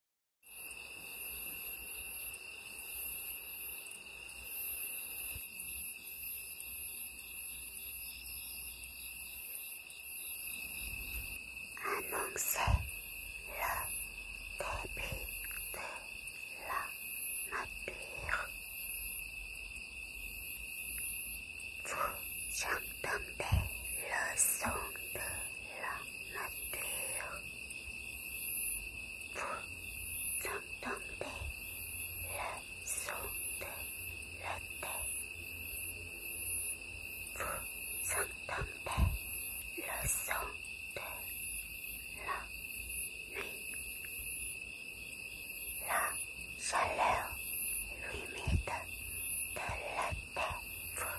c'est le début de la nature. Vous entendez le son de la nature vous entendez le son de l'autel. Vous entendez le son de la nuit. La chaleur humide de l'autel vous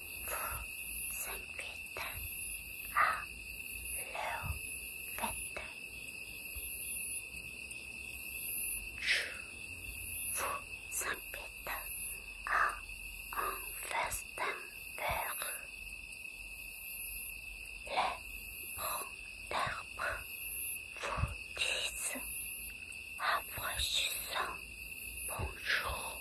Je vous invite à le fêter. Je vous invite à un verre d'ampleur. Les monts d'herbe vous disent à voix suceuse bonjour.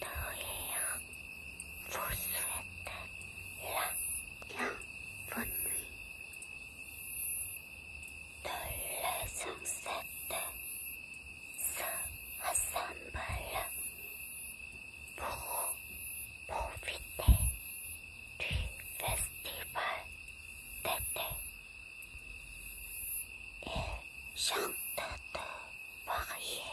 rien vous souhaite la bonne nuit de le sunset se rassemble pour profiter du festival d'été et chante de varier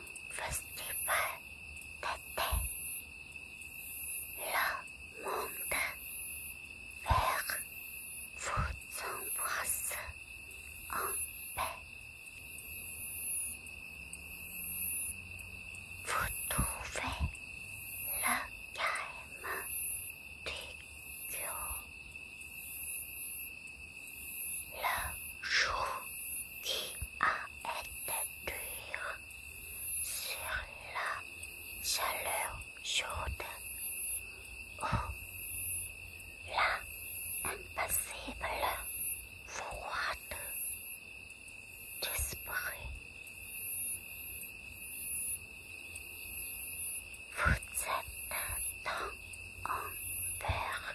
festival d'été. Le monde vert vous embrasse en paix. Vous trouvez le calme du cœur le jour qui a été dur sur la chaleur chaude. ou la impassible froide d'esprit. Vous êtes temps en peur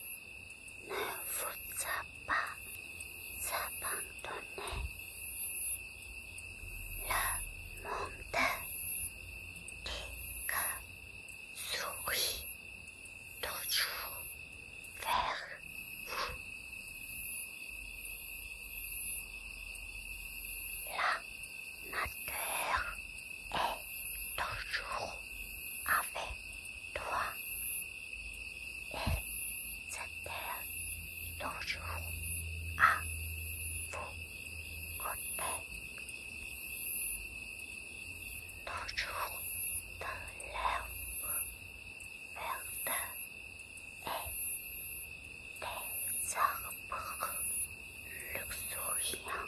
ne vous a pas abandonné. Le monde qui que sourit toujours vers vous. La matière est toujours avec toi et c'était toujours à vous côtés, toujours de l'herbe verte et des arbres luxuriants.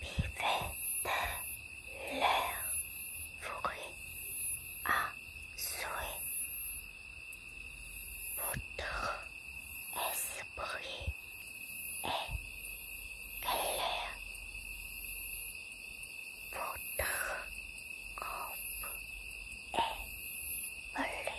Vous vivez de l'air fourré à souhait. Votre esprit est clair. Votre corps est volé.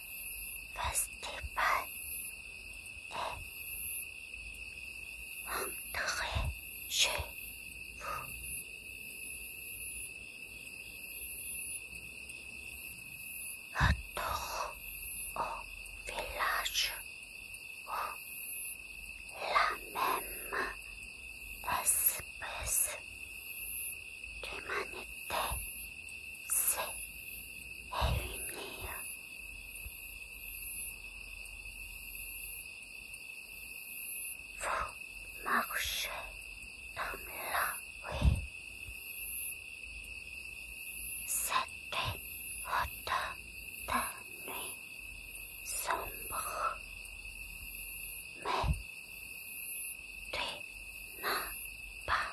ファスティパンへ entrez chez vous. au village la même espèce d'humanité et lumière. Vous marchez comme là, oui. C'était autant de nuit sombre, mais tu n'as pas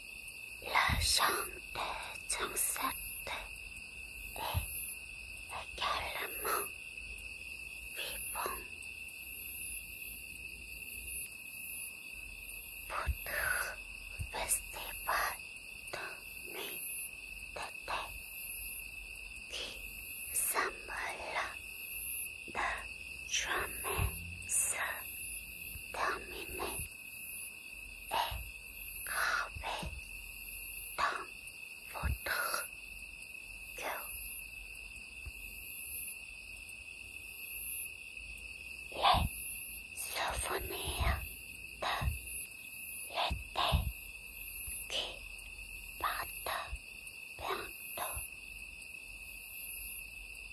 la chante Sunset est également vivant. Votre festival de nuit d'été qui semble de jamais se terminer et est dans votre cœur. Les souvenirs de l'été qui partent bientôt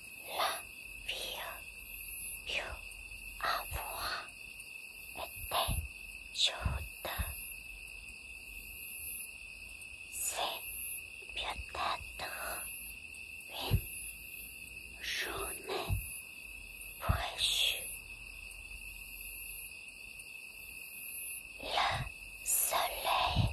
La vie, pour avoir été chaude, c'est peut-être une journée précieuse. Le soleil.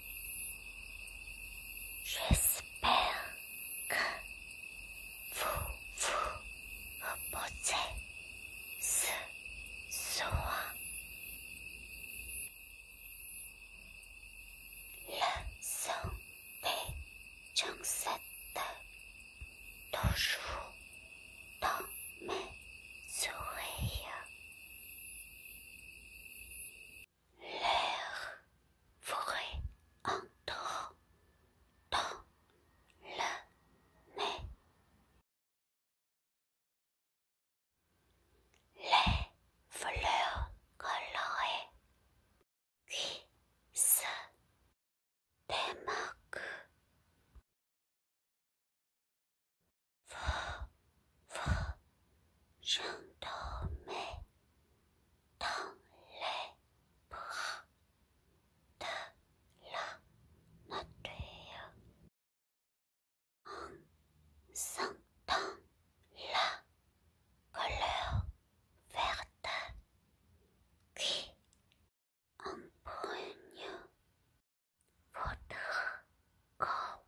J'espère que vous vous reposez ce soir. Le santé des chansons toujours dans mes sourires. L'air frais entre dans le nez. Les fleurs colorées qui se démarquent. Faut, faut, j'endormais dans les bras de la nature en sentant la couleur verte qui embrugne votre corps.